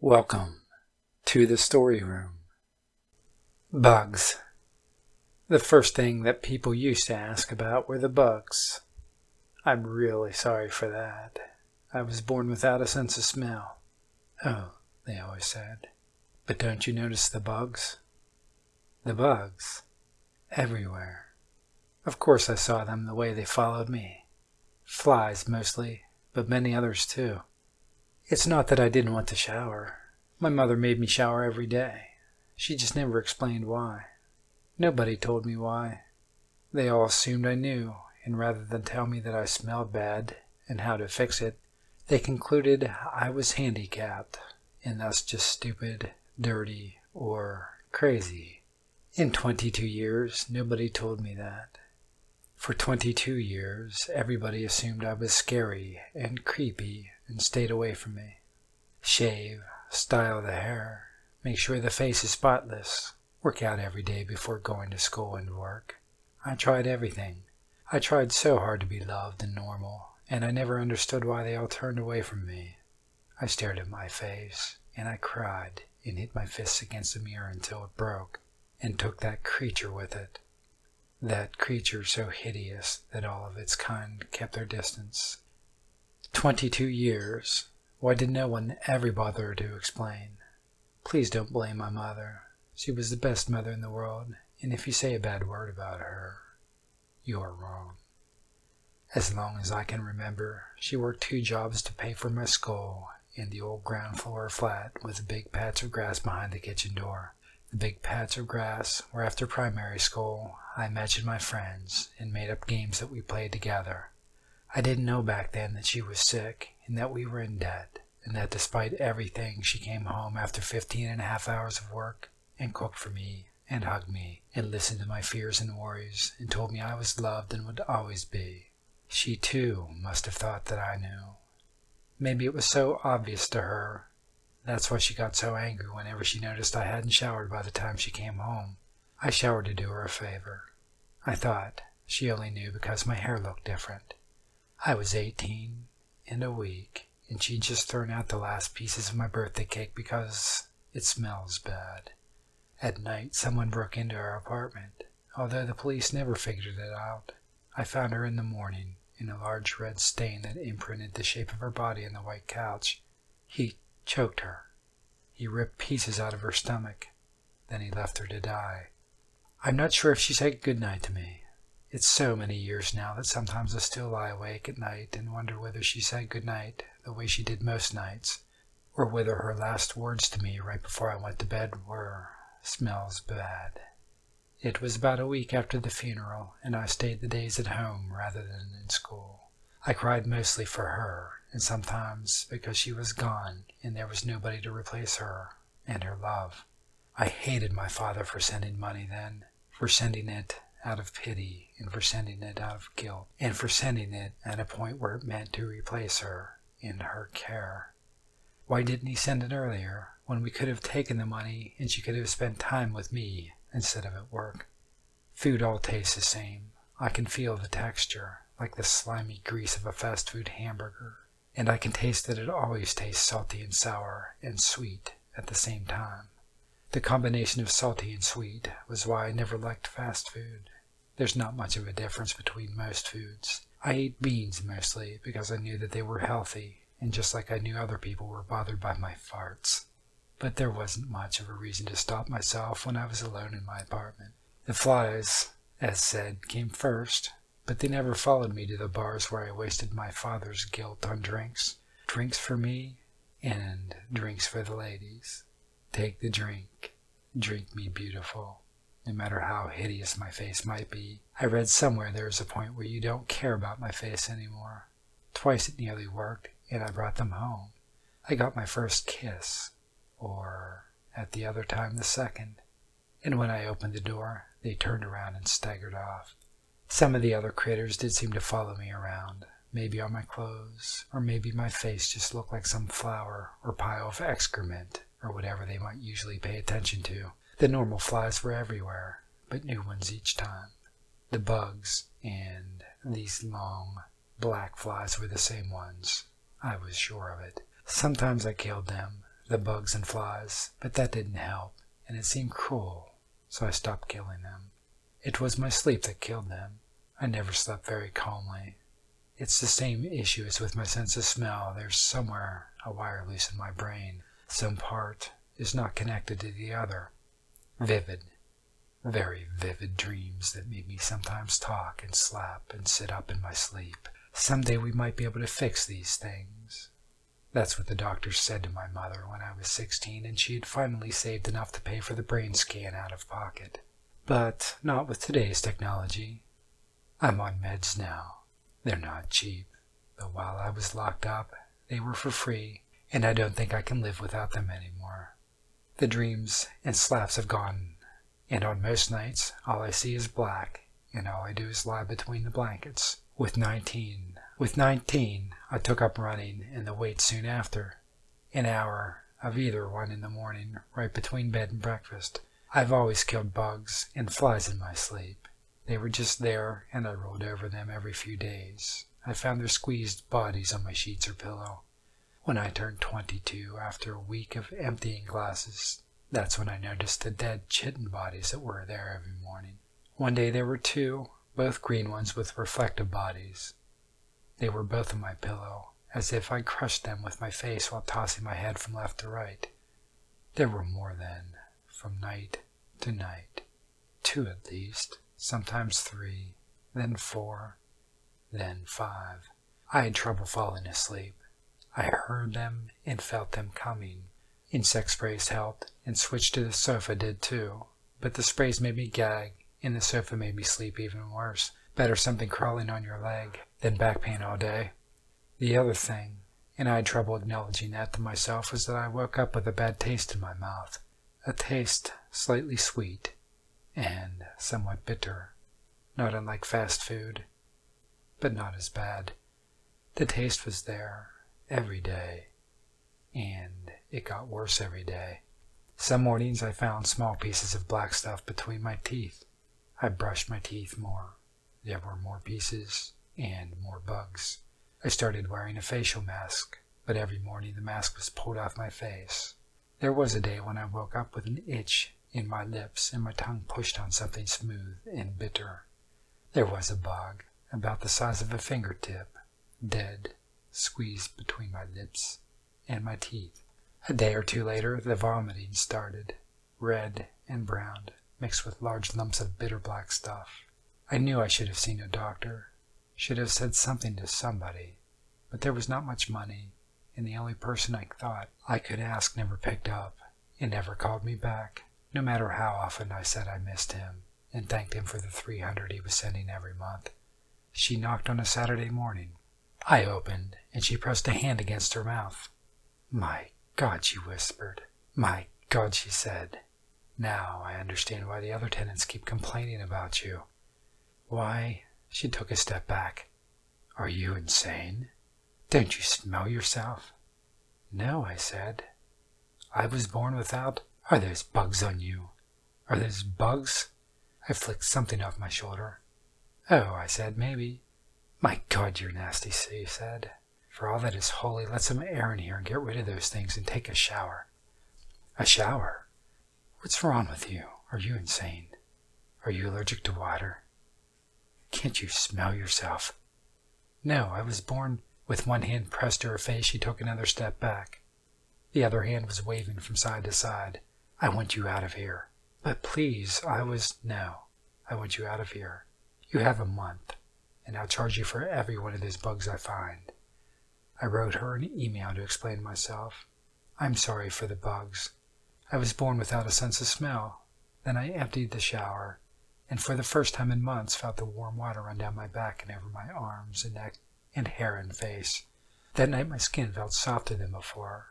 Welcome to the story room. Bugs. The first thing that people used to ask about were the bugs. I'm really sorry for that. I was born without a sense of smell. Oh, they always said. But don't you notice the bugs? The bugs. Everywhere. Of course I saw them the way they followed me. Flies mostly, but many others too. It's not that I didn't want to shower. My mother made me shower every day. She just never explained why. Nobody told me why. They all assumed I knew, and rather than tell me that I smelled bad and how to fix it, they concluded I was handicapped and thus just stupid, dirty, or crazy. In 22 years, nobody told me that. For 22 years, everybody assumed I was scary and creepy and stayed away from me. Shave, style the hair, make sure the face is spotless, work out every day before going to school and work. I tried everything. I tried so hard to be loved and normal, and I never understood why they all turned away from me. I stared at my face, and I cried and hit my fists against the mirror until it broke, and took that creature with it. That creature so hideous that all of its kind kept their distance. Twenty-two years. Why did no one ever bother to explain? Please don't blame my mother. She was the best mother in the world, and if you say a bad word about her, you are wrong. As long as I can remember, she worked two jobs to pay for my school in the old ground floor flat with big patch of grass behind the kitchen door. The big patch of grass where after primary school I imagined my friends and made up games that we played together. I didn't know back then that she was sick and that we were in debt and that despite everything she came home after fifteen and a half hours of work and cooked for me and hugged me and listened to my fears and worries and told me I was loved and would always be. She too must have thought that I knew. Maybe it was so obvious to her. That's why she got so angry whenever she noticed I hadn't showered by the time she came home. I showered to do her a favor. I thought she only knew because my hair looked different. I was 18 in a week, and she'd just thrown out the last pieces of my birthday cake because it smells bad. At night, someone broke into our apartment. Although the police never figured it out, I found her in the morning in a large red stain that imprinted the shape of her body on the white couch. He choked her. He ripped pieces out of her stomach. Then he left her to die. I'm not sure if she said good night to me. It's so many years now that sometimes I still lie awake at night and wonder whether she said good night the way she did most nights or whether her last words to me right before I went to bed were, smells bad. It was about a week after the funeral, and I stayed the days at home rather than in school. I cried mostly for her, and sometimes because she was gone and there was nobody to replace her and her love. I hated my father for sending money then, for sending it out of pity and for sending it out of guilt and for sending it at a point where it meant to replace her in her care. Why didn't he send it earlier when we could have taken the money and she could have spent time with me instead of at work? Food all tastes the same. I can feel the texture, like the slimy grease of a fast food hamburger, and I can taste that it always tastes salty and sour and sweet at the same time. The combination of salty and sweet was why I never liked fast food. There's not much of a difference between most foods. I ate beans mostly because I knew that they were healthy, and just like I knew other people were bothered by my farts. But there wasn't much of a reason to stop myself when I was alone in my apartment. The flies, as said, came first, but they never followed me to the bars where I wasted my father's guilt on drinks. Drinks for me and drinks for the ladies. Take the drink, drink me beautiful, no matter how hideous my face might be. I read somewhere there is a point where you don't care about my face any more. Twice it nearly worked, and I brought them home. I got my first kiss, or at the other time the second, and when I opened the door, they turned around and staggered off. Some of the other critters did seem to follow me around, maybe on my clothes, or maybe my face just looked like some flower or pile of excrement or whatever they might usually pay attention to. The normal flies were everywhere, but new ones each time. The bugs and these long, black flies were the same ones. I was sure of it. Sometimes I killed them, the bugs and flies, but that didn't help, and it seemed cruel so I stopped killing them. It was my sleep that killed them. I never slept very calmly. It's the same issue as with my sense of smell. There's somewhere a wire loose in my brain. Some part is not connected to the other. Vivid, very vivid dreams that made me sometimes talk and slap and sit up in my sleep. Some day we might be able to fix these things. That's what the doctors said to my mother when I was 16 and she had finally saved enough to pay for the brain scan out of pocket. But not with today's technology. I'm on meds now. They're not cheap, but while I was locked up, they were for free, and I don't think I can live without them anymore. The dreams and slaps have gone, and on most nights, all I see is black, and all I do is lie between the blankets, with 19. With 19, I took up running and the weight soon after. An hour of either one in the morning, right between bed and breakfast. I've always killed bugs and flies in my sleep. They were just there, and I rolled over them every few days. I found their squeezed bodies on my sheets or pillow. When I turned 22, after a week of emptying glasses, that's when I noticed the dead chitin bodies that were there every morning. One day there were two, both green ones with reflective bodies. They were both on my pillow, as if I crushed them with my face while tossing my head from left to right. There were more then, from night to night, two at least, sometimes three, then four, then five. I had trouble falling asleep. I heard them and felt them coming, Insect sprays helped, and switch to the sofa did too. But the sprays made me gag, and the sofa made me sleep even worse. Better something crawling on your leg than back pain all day. The other thing, and I had trouble acknowledging that to myself, was that I woke up with a bad taste in my mouth. A taste slightly sweet and somewhat bitter, not unlike fast food, but not as bad. The taste was there every day, and it got worse every day. Some mornings I found small pieces of black stuff between my teeth. I brushed my teeth more. There were more pieces and more bugs. I started wearing a facial mask, but every morning the mask was pulled off my face. There was a day when I woke up with an itch in my lips and my tongue pushed on something smooth and bitter. There was a bug, about the size of a fingertip, dead, squeezed between my lips and my teeth. A day or two later, the vomiting started, red and brown, mixed with large lumps of bitter black stuff. I knew I should have seen a doctor, should have said something to somebody, but there was not much money, and the only person I thought I could ask never picked up. He never called me back, no matter how often I said I missed him and thanked him for the 300 he was sending every month. She knocked on a Saturday morning. I opened, and she pressed a hand against her mouth. My God, she whispered. My God, she said. Now I understand why the other tenants keep complaining about you. Why? She took a step back. Are you insane? Don't you smell yourself? No, I said. I was born without. Are those bugs on you? Are those bugs? I flicked something off my shoulder. Oh, I said, maybe. My God, you're nasty, Sue said. For all that is holy, let some air in here and get rid of those things and take a shower. A shower? What's wrong with you? Are you insane? Are you allergic to water? Can't you smell yourself? No, I was born with one hand pressed to her face. She took another step back. The other hand was waving from side to side. I want you out of here. But please, I was, no, I want you out of here. You have a month, and I'll charge you for every one of those bugs I find. I wrote her an email to explain myself. I'm sorry for the bugs. I was born without a sense of smell. Then I emptied the shower, and for the first time in months felt the warm water run down my back and over my arms and neck and hair and face. That night my skin felt softer than before.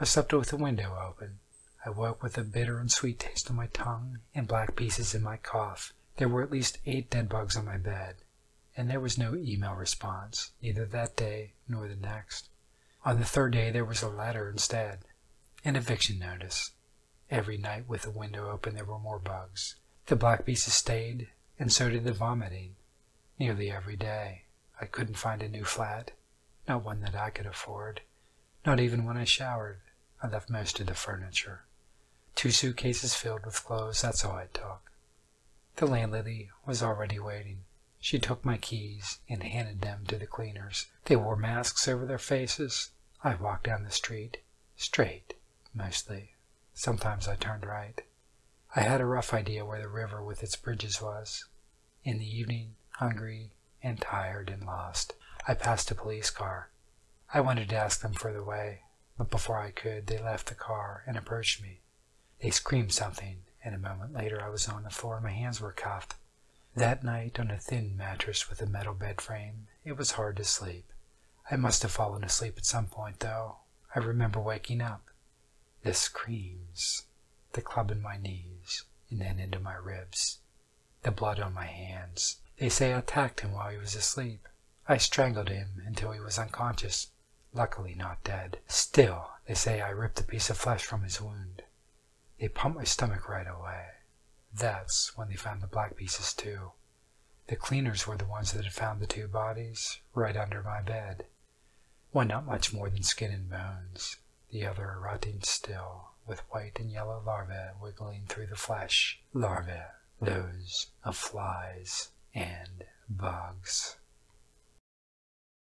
I slept with the window open. I woke with a bitter and sweet taste on my tongue and black pieces in my cough. There were at least eight dead bugs on my bed, and there was no email response, neither that day nor the next. On the third day, there was a letter instead, an eviction notice. Every night with the window open, there were more bugs. The black beasts stayed, and so did the vomiting. Nearly every day, I couldn't find a new flat, not one that I could afford. Not even when I showered, I left most of the furniture. Two suitcases filled with clothes, that's all I took. The landlady was already waiting. She took my keys and handed them to the cleaners. They wore masks over their faces. I walked down the street, straight, mostly. Sometimes I turned right. I had a rough idea where the river with its bridges was. In the evening, hungry and tired and lost, I passed a police car. I wanted to ask them for the way, but before I could, they left the car and approached me. They screamed something, and a moment later I was on the floor my hands were cuffed. That night, on a thin mattress with a metal bed frame, it was hard to sleep. I must have fallen asleep at some point, though. I remember waking up. The screams, the club in my knees, and then into my ribs, the blood on my hands. They say I attacked him while he was asleep. I strangled him until he was unconscious, luckily not dead. Still, they say I ripped a piece of flesh from his wound. They pumped my stomach right away. That's when they found the black pieces too. The cleaners were the ones that had found the two bodies right under my bed. One not much more than skin and bones, the other rotting still, with white and yellow larvae wiggling through the flesh. Larvae, those of flies and bugs.